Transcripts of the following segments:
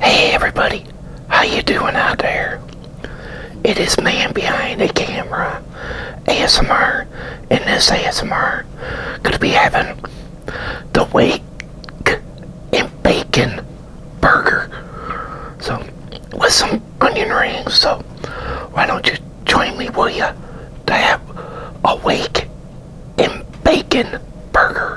Hey everybody, how you doing out there? It is man behind the camera, ASMR, and this ASMR gonna be having the wake in bacon burger. So with some onion rings, so why don't you join me will ya to have a wake in bacon burger.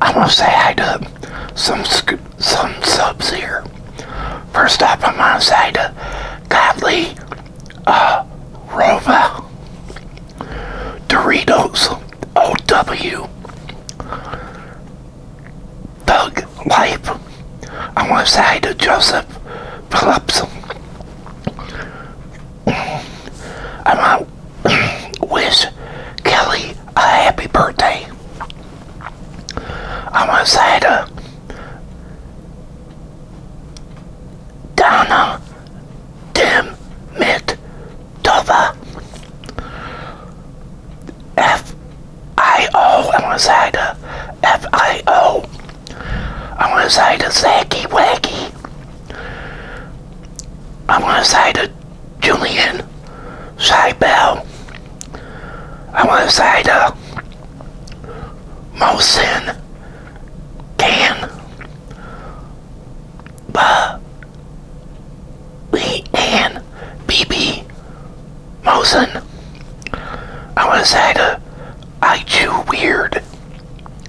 i want to say hi to some some subs here. First off, i want to say hi to Godly uh, Rova Doritos OW Thug Life. I want to say hi to uh, Joseph Phillips I want to wish Kelly a happy birthday. I want to say to Donna Dimitova F I O. I want to say to F I O. I want to say to Zacky Wacky. I want to say to Julian Seibel. I want to say to Mosin Can. But and BB Mosin. I want to say to I chew weird.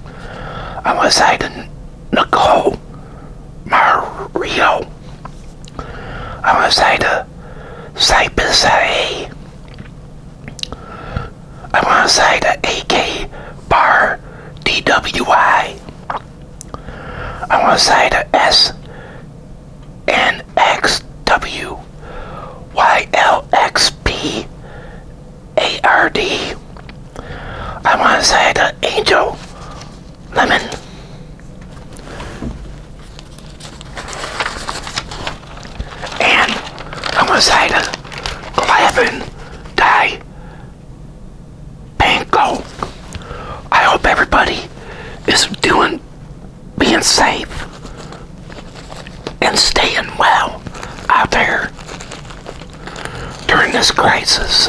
I Unless I didn't Nicole Mario. Unless I to Cypress A. I want to say the AK bar DWI. I want to say the S and XW YLXP a-R-D. I want to say the Angel Lemon. And i want to say the Glavin Dye Panko. I hope everybody is doing, being safe and staying well out there during this crisis.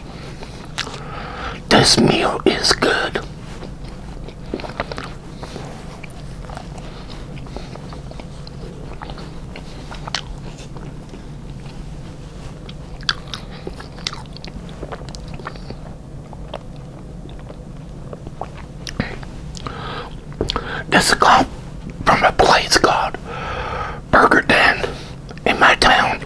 This meal is good. This is from a place called Burger Den in my town.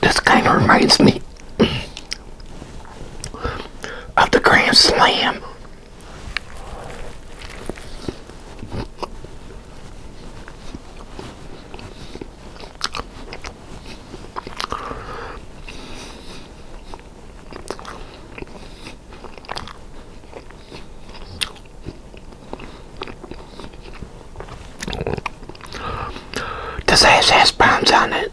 This kind of reminds me of the Grand Slam. This ass has bombs on it.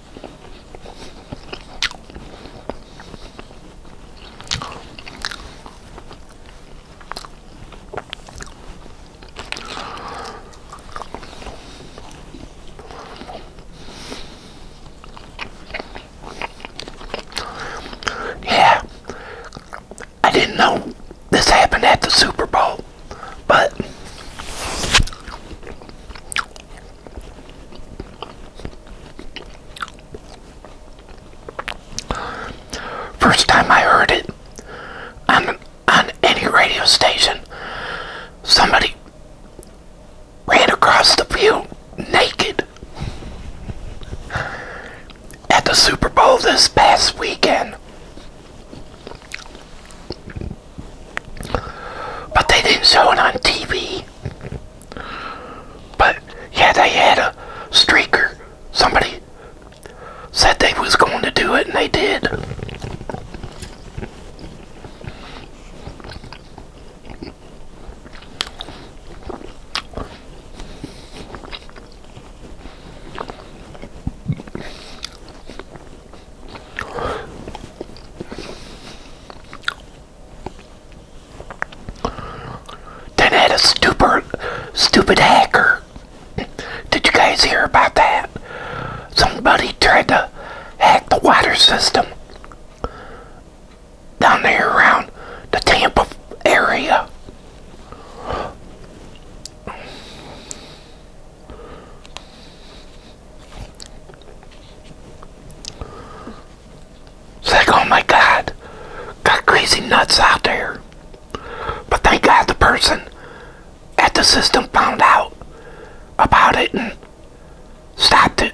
Yeah, I didn't know this happened at the Super Bowl. But first time I heard it on on any radio station, somebody ran across the field naked at the Super Bowl this past weekend. But they didn't show it on TV. But yeah, they had a streaker. Somebody said they was going to do it, and they did. Then had a stupid, stupid hacker. Did you guys hear about that? Somebody tried to hack the water system down there around the Tampa area. It's like, oh my god, got crazy nuts out there. But thank God the person at the system found out about it and stopped it.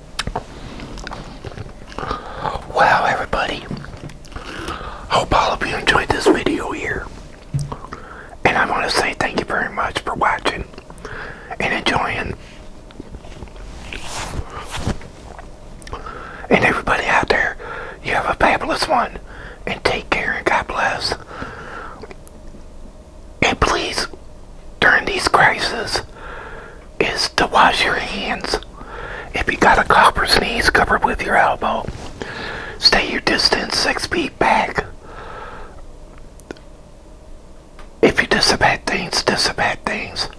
Wow, everybody. Hope all of you enjoyed this video here. And I want to say thank you very much for watching and enjoying. And everybody out there, you have a fabulous one. And take care and God bless. And please, during these crises, is to wash your hands. If you got a cough or sneeze, cover with your elbow. Stay your distance six feet back. If you disinfect things, disinfect things.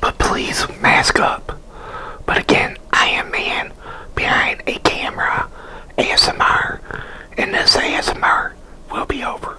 But please mask up. But again, I am man behind a camera ASMR. And this ASMR will be over.